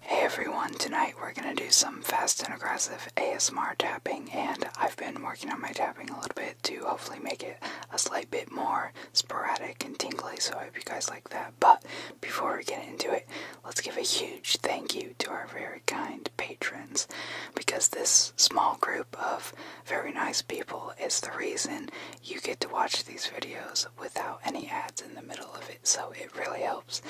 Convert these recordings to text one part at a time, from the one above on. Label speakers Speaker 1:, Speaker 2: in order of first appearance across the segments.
Speaker 1: Hey everyone, tonight we're gonna do some fast and aggressive ASMR tapping, and I've been working on my tapping a little bit to hopefully make it a slight bit more sporadic and tingly, so I hope you guys like that. But before we get into it, let's give a huge thank you to our very kind patrons, because this small group of very nice people is the reason you get to watch these videos without any ads in the middle of it, so it really helps.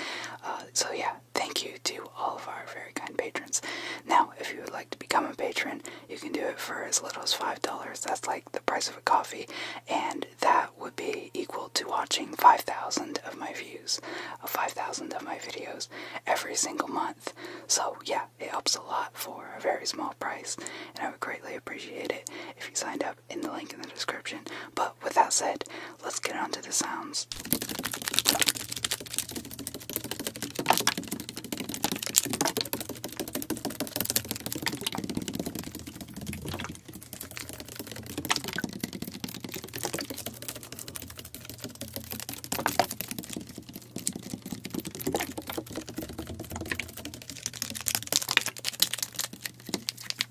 Speaker 1: Uh, so, yeah, thank you to all of our very kind patrons. Now, if you would like to become a patron, you can do it for as little as $5. That's like the price of a coffee, and that would be equal to watching 5,000 of my views, uh, 5,000 of my videos every single month. So, yeah, it helps a lot for a very small price, and I would greatly appreciate it if you signed up in the link in the description. But with that said, let's get on to the sounds.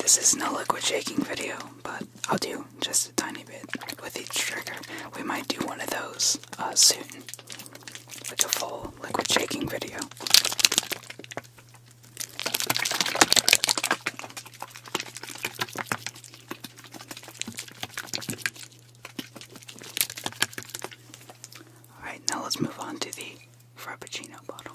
Speaker 1: This is no liquid shaking video, but I'll do just a tiny bit with each trigger. We might do one of those uh, soon, like a full liquid shaking video. Alright, now let's move on to the Frappuccino bottle.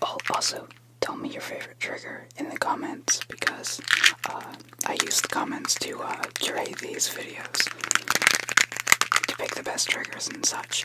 Speaker 1: Oh, also, tell me your favorite trigger in the comments because uh, I use the comments to uh, these videos to pick the best trigger triggers and such.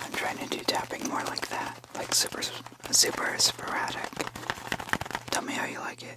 Speaker 1: I'm trying to do tapping more like that, like super, super sporadic. Tell me how you like it.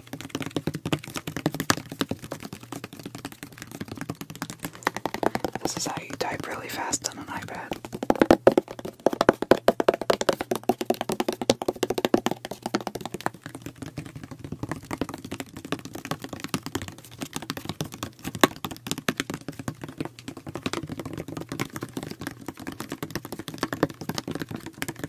Speaker 1: This is how you type really fast on an iPad.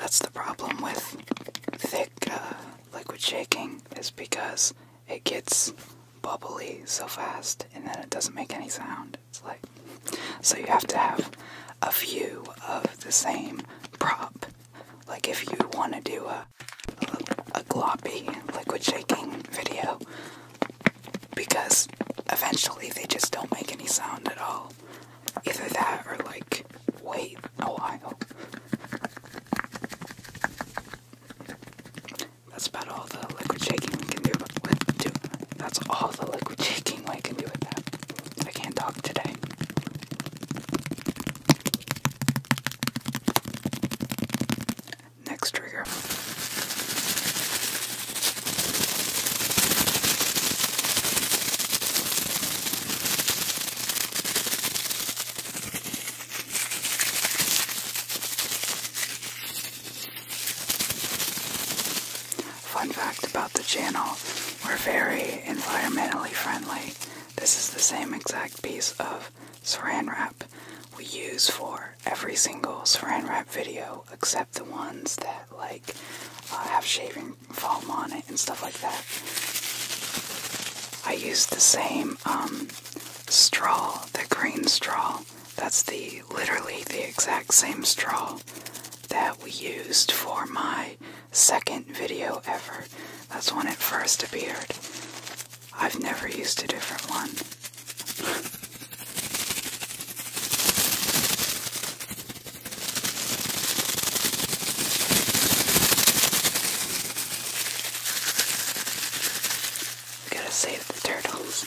Speaker 1: That's the problem with thick uh, liquid shaking, is because it gets bubbly so fast and then it doesn't make any sound. It's like so you have to have a few of the same prop. Like if you want to do a, a gloppy liquid shaking video because eventually they just don't make any sound at all. Either that or like wait a while. That's about all the liquid shaking we can do with do. That's all the liquid shaking we can do with that. I can't talk today. Next trigger. Fun fact about the channel, we're very environmentally friendly. This is the same exact piece of saran wrap we use for every single saran wrap video except the ones that like uh, have shaving foam on it and stuff like that. I use the same um, straw, the green straw that's the literally the exact same straw that we used for my second video ever. That's when it first appeared. I've never used a different one. We gotta save the turtles.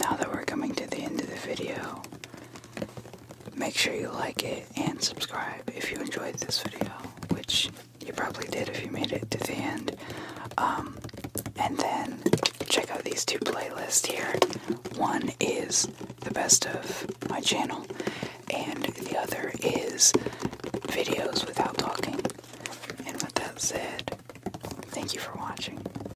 Speaker 1: Now that we're coming to the end of the video, Make sure you like it and subscribe if you enjoyed this video, which you probably did if you made it to the end. Um, and then check out these two playlists here. One is the best of my channel, and the other is videos without talking. And with that said, thank you for watching.